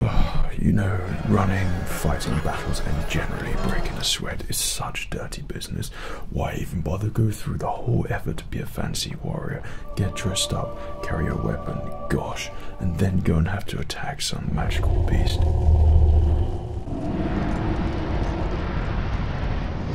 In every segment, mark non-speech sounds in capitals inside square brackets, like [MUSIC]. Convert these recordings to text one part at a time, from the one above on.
[SIGHS] You know, running, fighting battles, and generally breaking a sweat is such dirty business. Why even bother go through the whole effort to be a fancy warrior, get dressed up, carry a weapon, gosh, and then go and have to attack some magical beast?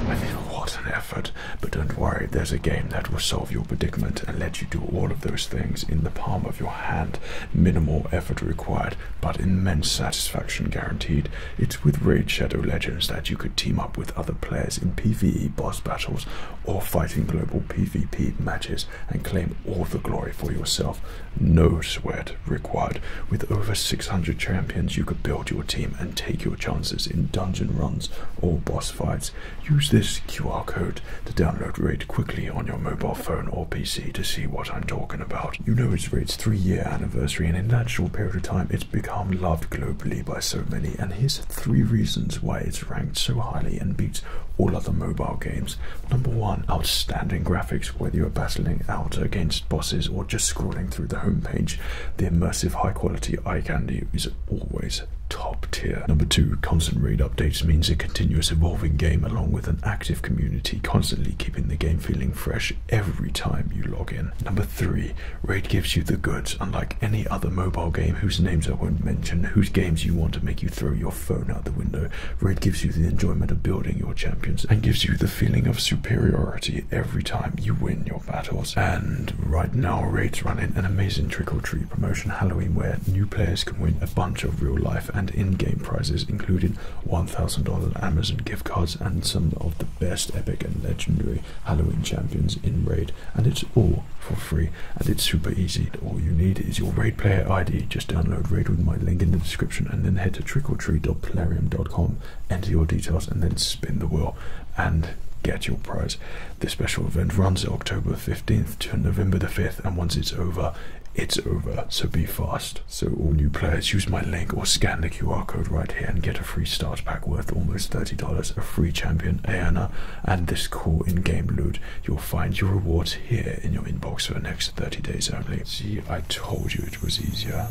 I mean, what an effort, but don't worry, there's a game that will solve your predicament and let you do all of those things in the palm of your hand minimal effort required, but immense satisfaction guaranteed. It's with Raid Shadow Legends that you could team up with other players in PvE boss battles or fighting global PvP matches and claim all the glory for yourself. No sweat required. With over 600 champions, you could build your team and take your chances in dungeon runs or boss fights. Use this QR code to download RAID quickly on your mobile phone or PC to see what I'm talking about. You know it's RAID's three year anniversary, and in that short period of time, it's become loved globally by so many. And here's three reasons why it's ranked so highly and beats all other mobile games. Number one, outstanding graphics, whether you're battling out against bosses or just scrolling through the homepage, the immersive high quality eye candy is always top tier. Number two, constant raid updates means a continuous evolving game along with an active community, constantly keeping the game feeling fresh every time you log in. Number three, raid gives you the goods, unlike any other mobile game whose names I won't mention, whose games you want to make you throw your phone out the window. Raid gives you the enjoyment of building your champions and gives you the feeling of superiority every time you win your battles. And right now, raids running an amazing trick or treat promotion Halloween where new players can win a bunch of real life and in game prizes, including $1,000 Amazon gift cards and some of the best epic and legendary Halloween champions in Raid. And it's all for free and it's super easy. All you need is your Raid player ID. Just download Raid with my link in the description and then head to trickortreat.plarium.com, enter your details, and then spin the wheel and get your prize. This special event runs October October 15th to November the 5th, and once it's over, it's over, so be fast. So, all new players, use my link or scan the QR code right here and get a free start pack worth almost $30, a free champion, Ayana, and this cool in game loot. You'll find your rewards here in your inbox for the next 30 days only. See, I told you it was easier.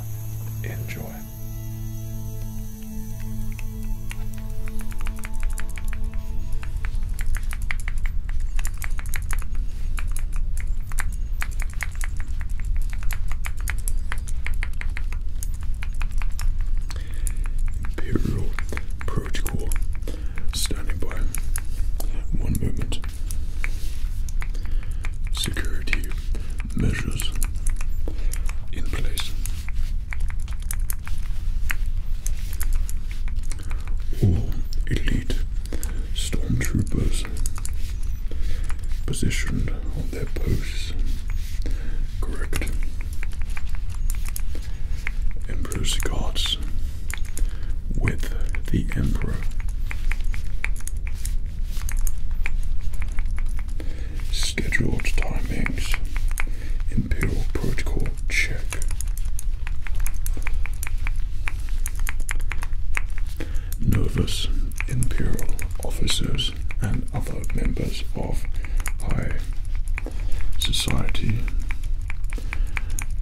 Enjoy. Imperial protocol standing by. One moment. Security measures in place. All elite stormtroopers positioned on their posts. Correct. Emperor's guards with the Emperor. Scheduled timings Imperial Protocol check. Nervous Imperial officers and other members of high society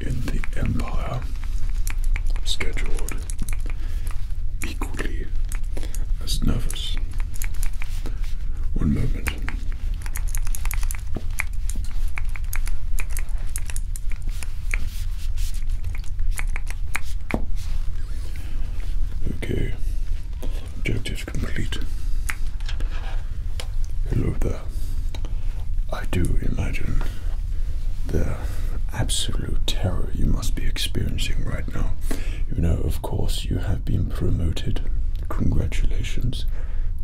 in the Empire scheduled equally as nervous. One moment. Okay, objective complete. Hello there. I do imagine the absolute terror you must be experiencing right now. You know, of course, you have been promoted. Congratulations.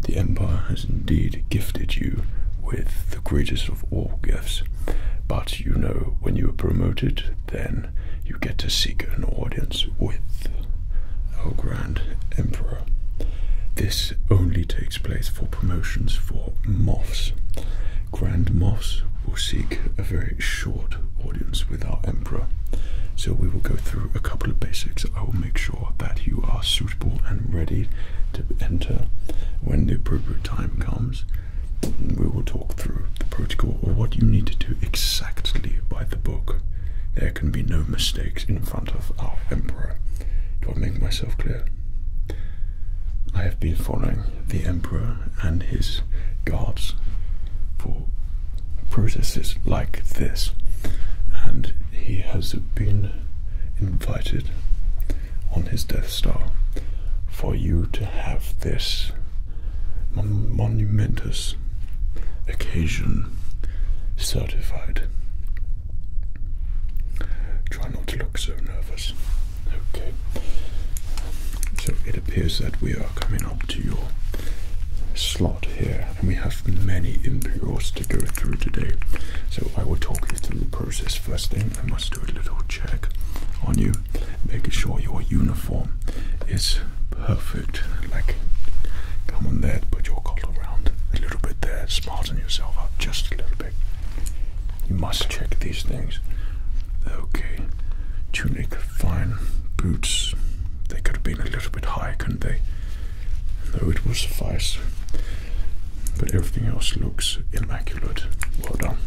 The Empire indeed gifted you with the greatest of all gifts. But you know, when you are promoted, then you get to seek an audience with our Grand Emperor. This only takes place for promotions for moths. Grand moths will seek a very short audience with our Emperor. So we will go through a couple of basics. I will make sure that you are suitable and ready to enter when the appropriate time comes. We will talk through the protocol or what you need to do exactly by the book. There can be no mistakes in front of our Emperor. Do I make myself clear? I have been following the Emperor and his guards for processes like this, and he has been invited on his Death Star for you to have this mon monumentous occasion certified. Try not to look so nervous. Okay. So it appears that we are coming up to your slot here, and we have many Imperial to go through today. So I will talk you through the process. First thing, I must do a little check on you, making sure your uniform is perfect. Like, come on there, put your collar around a little bit there, smarten yourself up just a little bit. You must check these things. Okay, tunic, fine. Boots, they could have been a little bit high, couldn't they? though it will suffice. But everything else looks immaculate. Well done.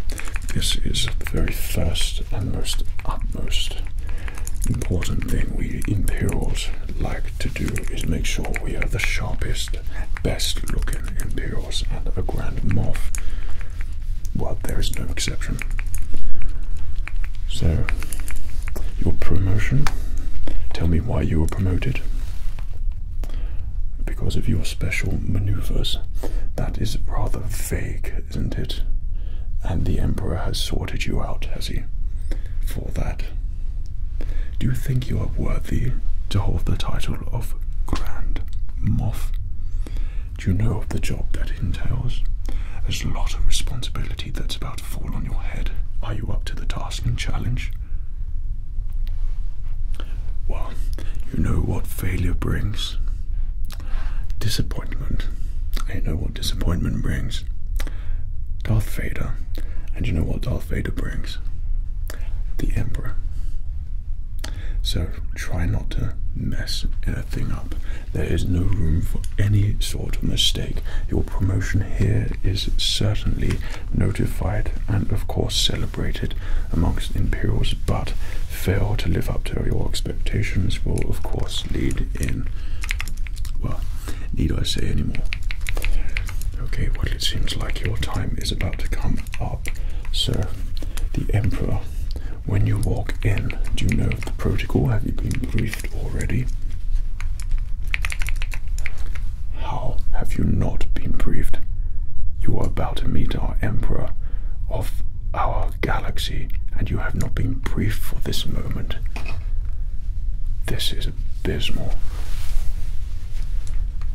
This is the very first and most utmost important thing we Imperials like to do is make sure we are the sharpest, best looking Imperials and a Grand morph. Well, there is no exception. So your promotion. Tell me why you were promoted. Because of your special maneuvers. That is rather vague, isn't it? And the Emperor has sorted you out, has he? For that. Do you think you are worthy to hold the title of Grand Moff? Do you know of the job that entails? There's a lot of responsibility that's about fall on your head. Are you up to the task and challenge? Well, you know what failure brings? Disappointment. I know what disappointment brings. Darth Vader. And you know what Darth Vader brings? The Emperor. So try not to mess anything up. There is no room for any sort of mistake promotion here is certainly notified and, of course, celebrated amongst Imperials, but fail to live up to your expectations will, of course, lead in. Well, need I say any more? Okay, well, it seems like your time is about to come up, sir. The Emperor, when you walk in, do you know the protocol? Have you been briefed already? How have you not been briefed? You are about to meet our Emperor of our galaxy, and you have not been briefed for this moment. This is abysmal.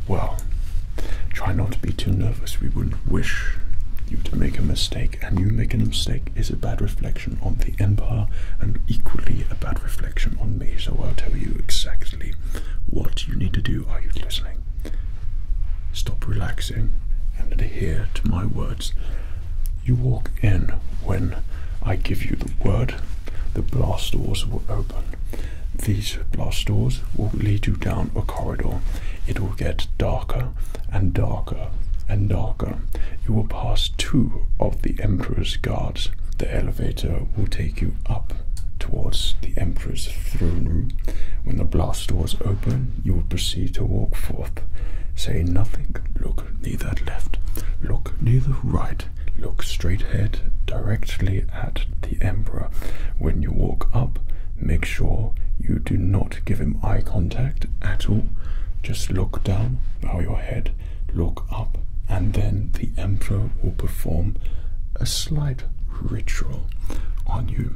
Well, try not to be too nervous. We wouldn't wish you to make a mistake, and you make a mistake is a bad reflection on the Empire and equally a bad reflection on me. So I'll tell you exactly what you need to do. Are you listening? Stop relaxing and adhere to my words. You walk in when I give you the word. The blast doors will open. These blast doors will lead you down a corridor. It will get darker and darker and darker. You will pass two of the Emperor's guards. The elevator will take you up towards the Emperor's throne room. When the blast doors open, you will proceed to walk forth. Say nothing. Look neither left. Look neither right. Look straight ahead directly at the Emperor. When you walk up, make sure you do not give him eye contact at all. Just look down, bow your head, look up, and then the emperor will perform a slight ritual on you.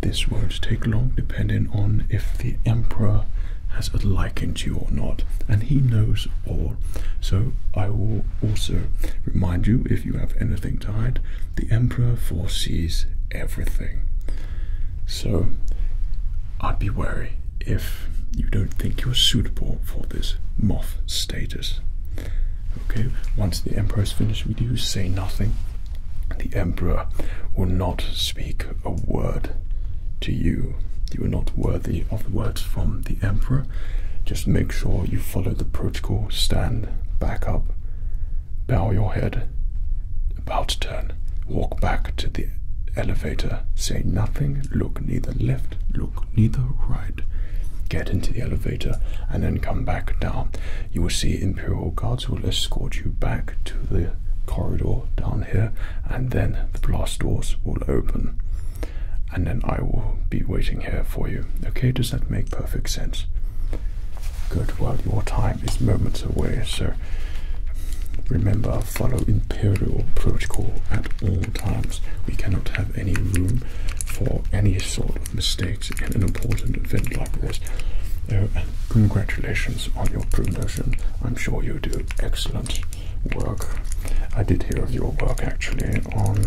This won't take long, depending on if the emperor has a liking to you or not, and he knows all. So I will also remind you if you have anything to hide, the emperor foresees everything. So I'd be wary if you don't think you're suitable for this moth status. Okay, once the emperor's finished with you, say nothing. The emperor will not speak a word to you. You are not worthy of the words from the emperor. Just make sure you follow the protocol, stand back up, bow your head, about to turn, walk back to the elevator, say nothing, look neither left, look neither right, get into the elevator, and then come back down. You will see Imperial Guards will escort you back to the corridor down here, and then the blast doors will open. And then I will be waiting here for you. Okay, does that make perfect sense? Good, well, your time is moments away, so remember follow imperial protocol at all times. We cannot have any room for any sort of mistakes in an important event like this. Oh, congratulations on your promotion. I'm sure you do excellent work. I did hear of your work actually on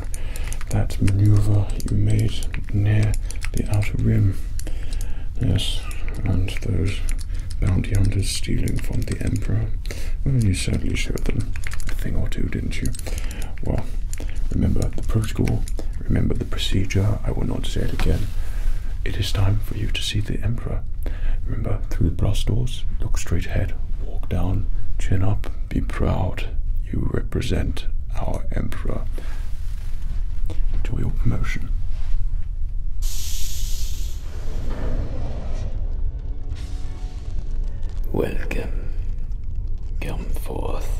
that maneuver you made near the outer rim. Yes, and those bounty hunters stealing from the emperor. you certainly showed them a thing or two, didn't you? Well, remember the protocol, remember the procedure. I will not say it again. It is time for you to see the emperor. Remember, through the brass doors, look straight ahead, walk down, chin up, be proud. You represent our emperor. Do your promotion. Welcome. Come forth.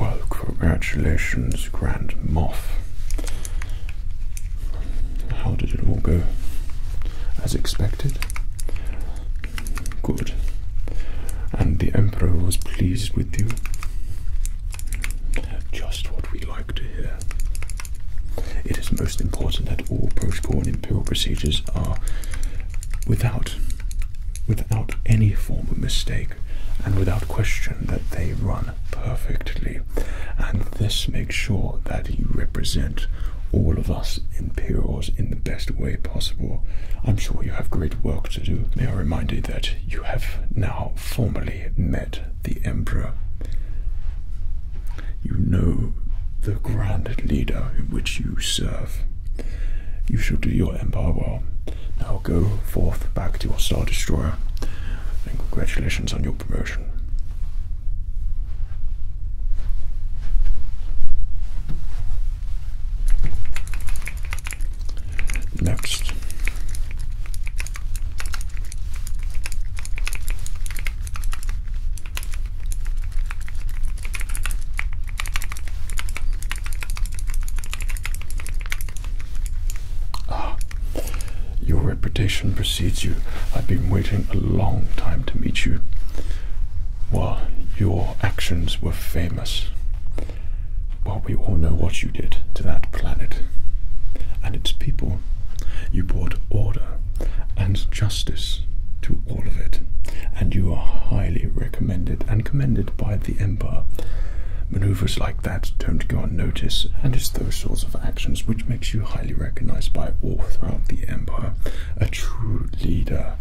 Well, congratulations, Grand Moff. How did it all go? As expected? Good. And the Emperor was pleased with you? Just what we like to hear. It is most important that all post and imperial procedures are without without any form of mistake and without question that they run perfectly and this makes sure that you represent all of us imperials in the best way possible i'm sure you have great work to do may i remind you that you have now formally met the emperor you know the grand leader in which you serve you shall do your empire well. Now go forth back to your Star Destroyer, and congratulations on your promotion. Next. Ah, your reputation precedes you. I've been waiting a long time to meet you. Well, your actions were famous. Well, we all know what you did to that planet and its people. You brought order and justice to all of it, and you are highly recommended and commended by the Emperor. Maneuvers like that don't go unnoticed, and it's those sorts of actions which makes you highly recognized by all throughout the Empire. A true leader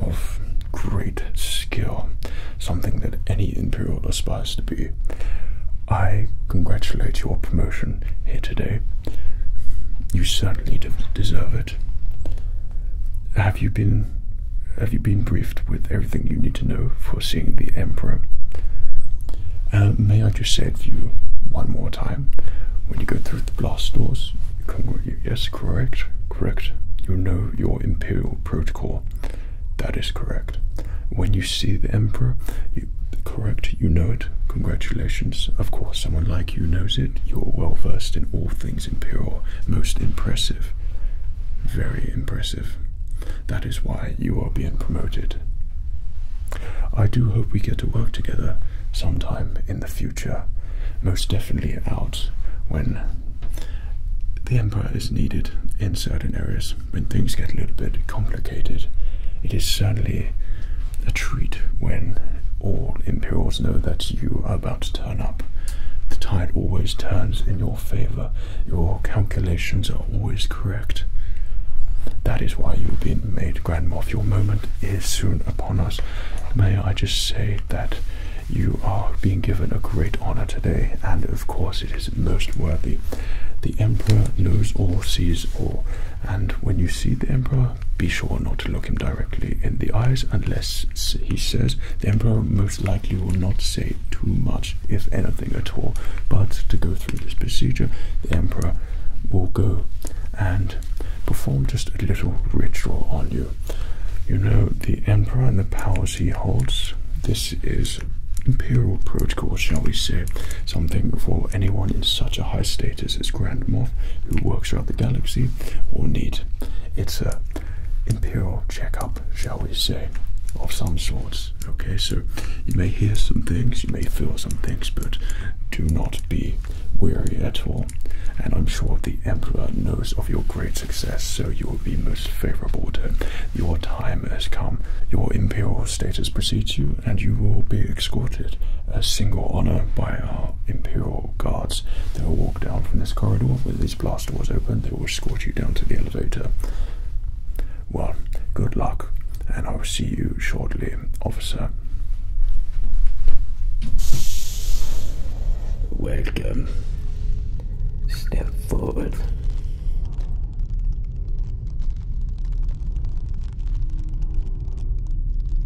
of great skill, something that any Imperial aspires to be. I congratulate your promotion here today. You certainly deserve it. Have you been have you been briefed with everything you need to know for seeing the Emperor? Uh, may I just say to you one more time, when you go through the blast doors, yes, correct, correct. You know your Imperial protocol. That is correct. When you see the Emperor, correct, you know it. Congratulations. Of course, someone like you knows it. You're well versed in all things imperial most impressive very impressive that is why you are being promoted i do hope we get to work together sometime in the future most definitely out when the Empire is needed in certain areas when things get a little bit complicated. It is certainly a treat when all Imperials know that you are about to turn up. The tide always turns in your favor. Your calculations are always correct. That is why you've been made Grand Moff. Your moment is soon upon us. May I just say that you are being given a great honor today, and of course, it is most worthy. The Emperor knows all, sees all, and when you see the Emperor, be sure not to look him directly in the eyes unless he says. The Emperor most likely will not say too much, if anything at all. But to go through this procedure, the Emperor will go and perform just a little ritual on you. You know, the Emperor and the powers he holds, this is imperial protocol, shall we say, something for anyone in such a high state status as Grand Moff who works around the galaxy or need. It's a uh, imperial checkup, shall we say, of some sorts. Okay, so you may hear some things, you may feel some things, but do not be weary at all. And I'm sure the Emperor knows of your great success, so you will be most favorable to him. Your time has come, your imperial status precedes you, and you will be escorted a uh, single honor by our imperial guards they will walk down from this corridor with these blast doors open. They will escort you down to the elevator. Well, good luck, and I will see you shortly, officer. Welcome. Step forward.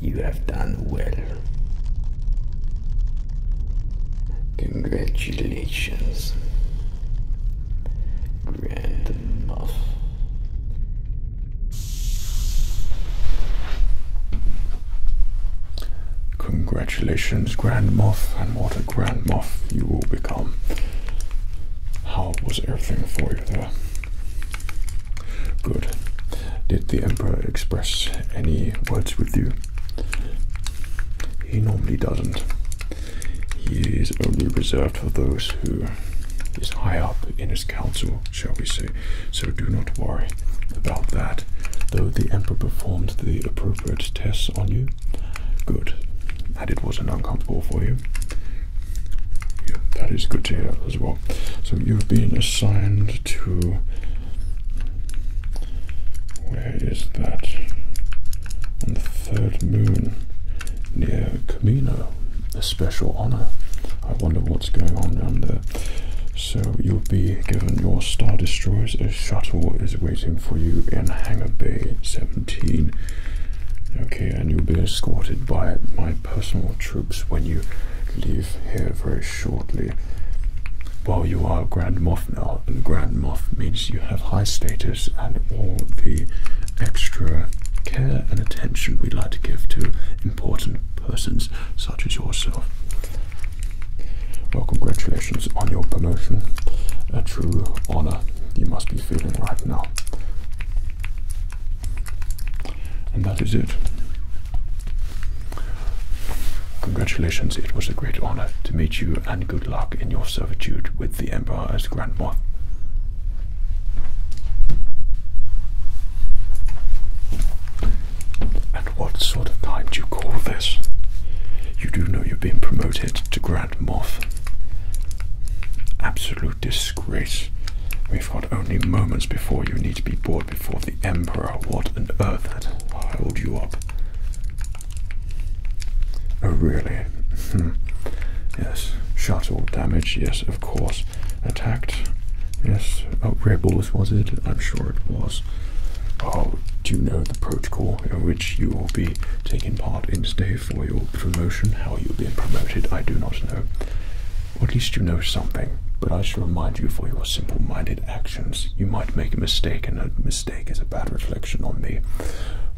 you have done well. Congratulations, Grand Congratulations, Grand Moth, and what a Grand Moth you will become. How was everything for you there? Good. Did the Emperor express any words with you? He normally doesn't. He is only reserved for those who is high up in his council, shall we say. So do not worry about that. Though the Emperor performed the appropriate tests on you, good. And it wasn't uncomfortable for you. Yeah, that is good to hear as well. So you've been assigned to where is that? On the third moon near Camino. A special honor. I wonder what's going on down there. So you'll be given your Star Destroyers. A shuttle is waiting for you in Hangar Bay 17. Okay, and you'll be escorted by my personal troops when you leave here very shortly. Well, you are Grand Moff now, and Grand Moff means you have high status and all the extra care and attention we like to give to important persons such as yourself. Well, congratulations on your promotion. A true honor you must be feeling right now. And that is it. Congratulations, it was a great honor to meet you, and good luck in your servitude with the Emperor as Grand Moth. And what sort of time do you call this? You do know you are being promoted to Grand Moth. Absolute disgrace. We've got only moments before you need to be brought before the Emperor. What on earth had held you up? Oh, really? Hmm. yes. Shuttle damage, yes, of course. Attacked, yes. Oh, rebels, was it? I'm sure it was. Oh, do you know the protocol in which you will be taking part in today for your promotion? How you'll be promoted, I do not know. at least you know something, but I shall remind you for your simple minded act you might make a mistake, and a mistake is a bad reflection on me.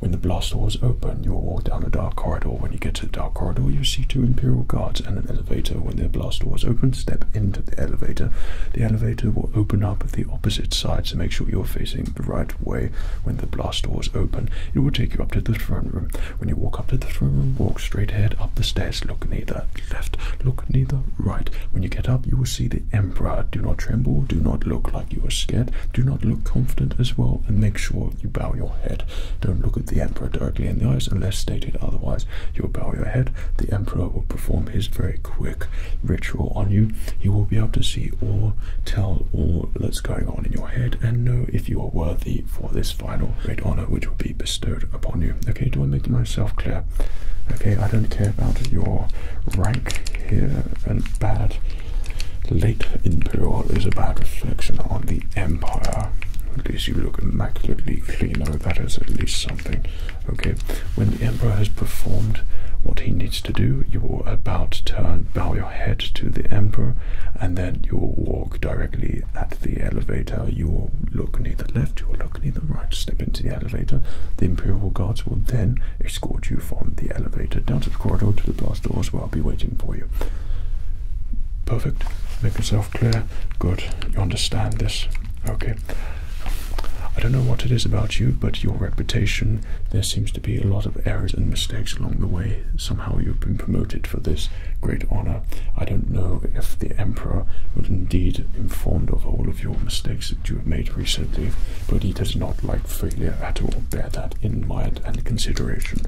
When the blast doors open, you'll walk down a dark corridor. When you get to the dark corridor, you'll see two Imperial guards and an elevator. When the blast doors open, step into the elevator. The elevator will open up at the opposite side, so make sure you're facing the right way when the blast doors open. It will take you up to the throne room. When you walk up to the throne room, walk straight ahead up the stairs, look neither left, look neither right. When you get up, you will see the emperor. Do not tremble, do not look like you are scared, do not look confident as well, and make sure you bow your head. Don't look at the emperor directly in the eyes unless stated otherwise. You'll bow your head, the emperor will perform his very quick ritual on you. He will be able to see or tell all that's going on in your head, and know if you are worthy for this final great honor, which will be bestowed upon you. Okay, do I make myself clear? Okay, I don't care about your rank here. And bad late imperial is a bad reflection on the empire. At least you look immaculately clean. Oh, that is at least something. Okay, when the emperor has performed what he needs to do, you will about turn, bow your head to the emperor, and then you will walk directly at the elevator. You will look neither left or balcony the right, to step into the elevator. The Imperial Guards will then escort you from the elevator down to the corridor to the blast doors where I'll be waiting for you. Perfect. Make yourself clear. Good. You understand this. Okay. I don't know what it is about you, but your reputation, there seems to be a lot of errors and mistakes along the way. Somehow you've been promoted for this great honor. I don't know if the emperor was indeed informed of all of your mistakes that you have made recently, but he does not like failure at all. Bear that in mind and consideration.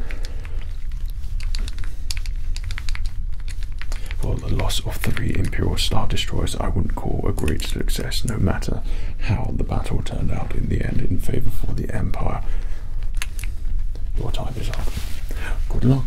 Well, the loss of three Imperial Star Destroyers I wouldn't call a great success, no matter how the battle turned out in the end in favor for the Empire. Your time is up. Good luck.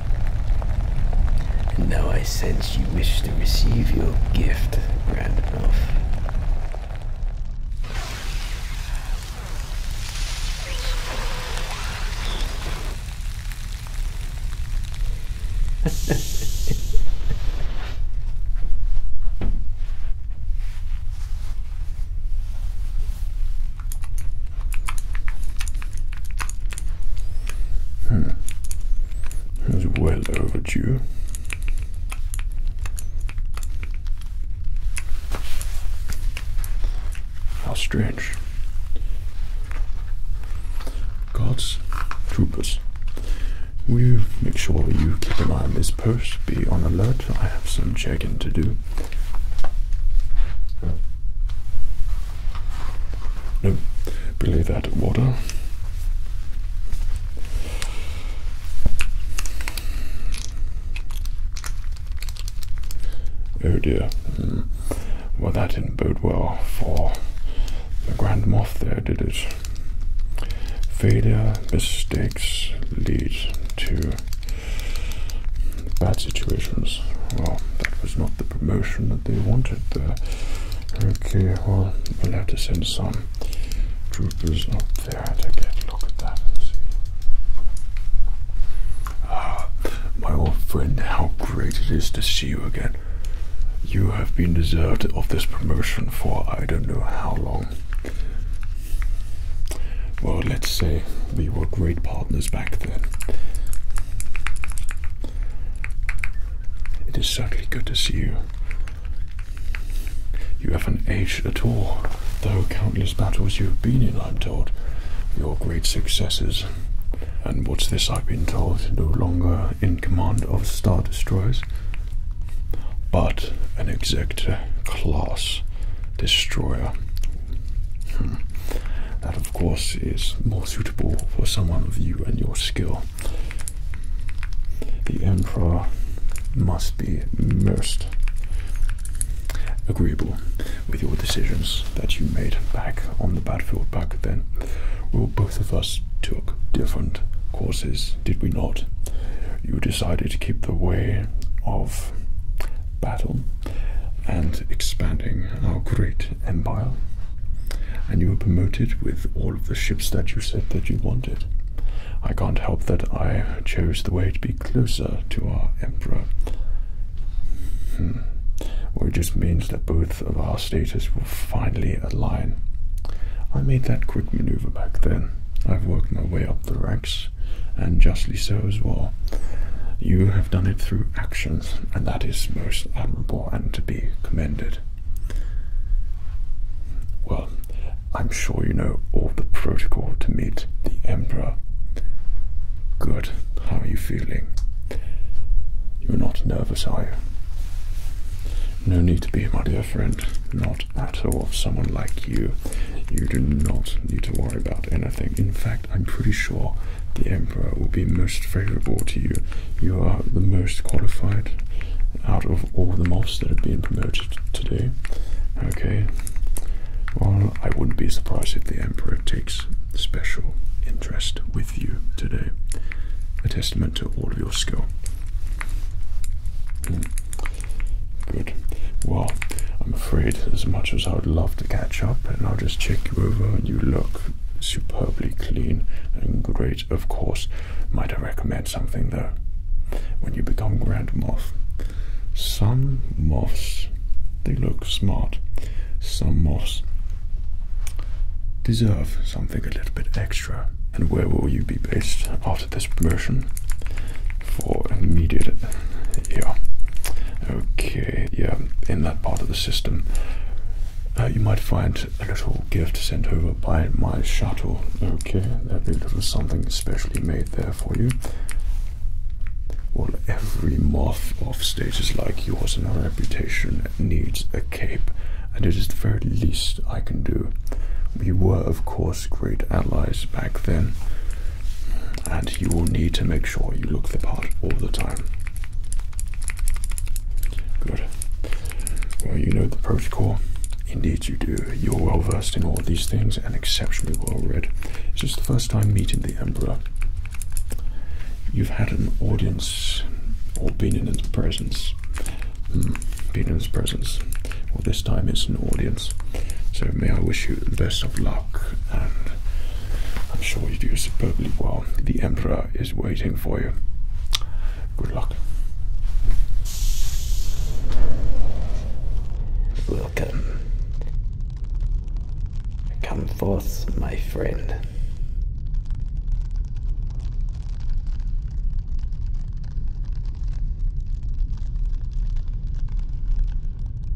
And now I sense you wish to receive your gift, Randolph. [LAUGHS] Hmm. That's well overdue. How strange. Guards, troopers, will make sure you keep an eye on this post? Be on alert. I have some checking to do. No, believe that water. Oh dear. Hmm. Well, that didn't bode well for the grandmoth. there, did it? Failure, mistakes lead to bad situations. Well, that was not the promotion that they wanted there. Okay, well, we'll have to send some troopers Not there to get a look at that and see. Ah, my old friend, how great it is to see you again. You have been deserved of this promotion for I don't know how long. Well, let's say we were great partners back then. It is certainly good to see you. You haven't aged at all, though countless battles you have been in, I'm told. Your great successes. And what's this I've been told? No longer in command of Star Destroyers, but an exact class destroyer. Hmm. That, of course, is more suitable for someone of you and your skill. The Emperor must be most agreeable with your decisions that you made back on the battlefield back then. Well, both of us took different courses, did we not? You decided to keep the way of battle and expanding our great Empire, and you were promoted with all of the ships that you said that you wanted. I can't help that I chose the way to be closer to our Emperor. Hmm. it just means that both of our status will finally align. I made that quick maneuver back then. I've worked my way up the ranks, and justly so as well. You have done it through actions, and that is most admirable and to be commended. Well, I'm sure you know all the protocol to meet the Emperor. Good. How are you feeling? You're not nervous, are you? No need to be, my dear friend. Not at all. Someone like you, you do not need to worry about anything. In fact, I'm pretty sure the Emperor will be most favorable to you. You are the most qualified out of all the mobs that have been promoted today. Okay. Well, I wouldn't be surprised if the Emperor takes special interest with you today. A testament to all of your skill. Hmm. Good. Well, I'm afraid as much as I would love to catch up and I'll just check you over and you look superbly clean and great. Of course, might I recommend something though? When you become Grand Moth, some moths they look smart, some moths deserve something a little bit extra. And where will you be based after this promotion? For immediate, yeah. Okay yeah, in that part of the system, uh, you might find a little gift sent over by my shuttle. Okay, that'd be a little something specially made there for you. Well, every moth off stages like yours and her reputation needs a cape, and it is the very least I can do. We were, of course, great allies back then and you will need to make sure you look the part all the time. Good. Well, you know the protocol. Indeed, you do. You're well versed in all these things and exceptionally well read. Is this the first time meeting the Emperor? You've had an audience or been in his presence. Hmm, been in his presence. Well, this time it's an audience. So, may I wish you the best of luck I'm sure you do superbly well. The Emperor is waiting for you. Good luck. Welcome. Come forth, my friend.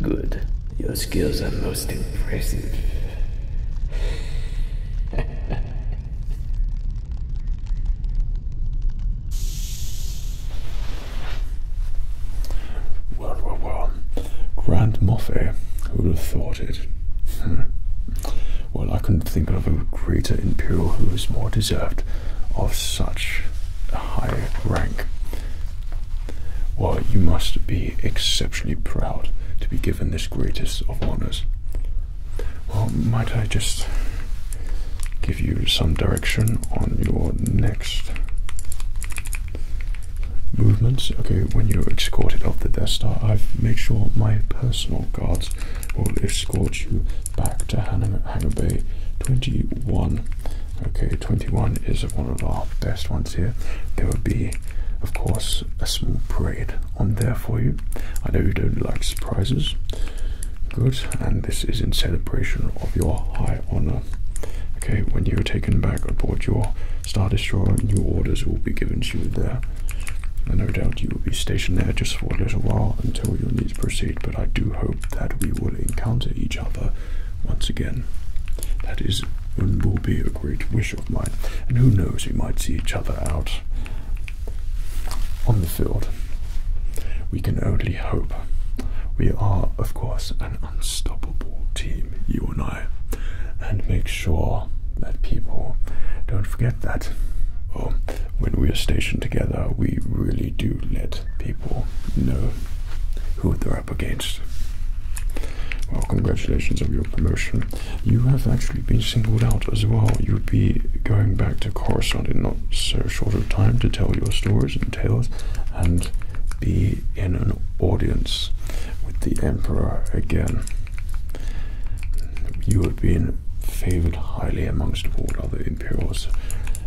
Good. Your skills are most impressive. World War One. Grand Moffe. Who would have thought it? [LAUGHS] well, I couldn't think of a greater imperial who is more deserved of such high rank. Well, you must be exceptionally proud to be given this greatest of honors. Well, might I just give you some direction on your next movements? Okay, when you're escorted off the Death Star, I've made sure my personal guards will escort you back to Hangar Bay 21. Okay, 21 is one of our best ones here. There will be, of course, a small parade on there for you. I know you don't like surprises. Good, and this is in celebration of your high honor. Okay, when you are taken back aboard your Star Destroyer, new orders will be given to you there. And no doubt you will be stationed there just for a little while until you need proceed. But I do hope that we will encounter each other once again. That is and will be a great wish of mine. And who knows, we might see each other out on the field. We can only hope. We are, of course, an unstoppable team, you and I. And make sure that people don't forget that. Oh, when we are stationed together, we really do let people know who they're up against. Well, congratulations on your promotion. You have actually been singled out as well. You'll be going back to Coruscant in not so short a time to tell your stories and tales and be in an audience with the Emperor again. You have been favoured highly amongst all other Imperials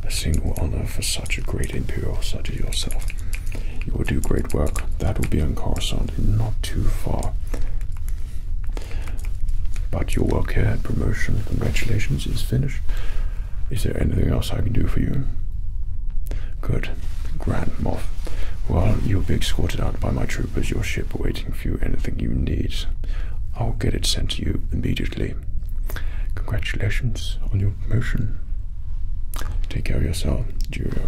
a single honor for such a great imperial such as yourself. You will do great work. That will be on Coruscant, not too far. But your work here at promotion, congratulations, is finished. Is there anything else I can do for you? Good. Grand Moff. Well, you'll be escorted out by my troopers. Your ship awaiting for you. Anything you need, I'll get it sent to you immediately. Congratulations on your promotion. Take care of yourself. Cheerio.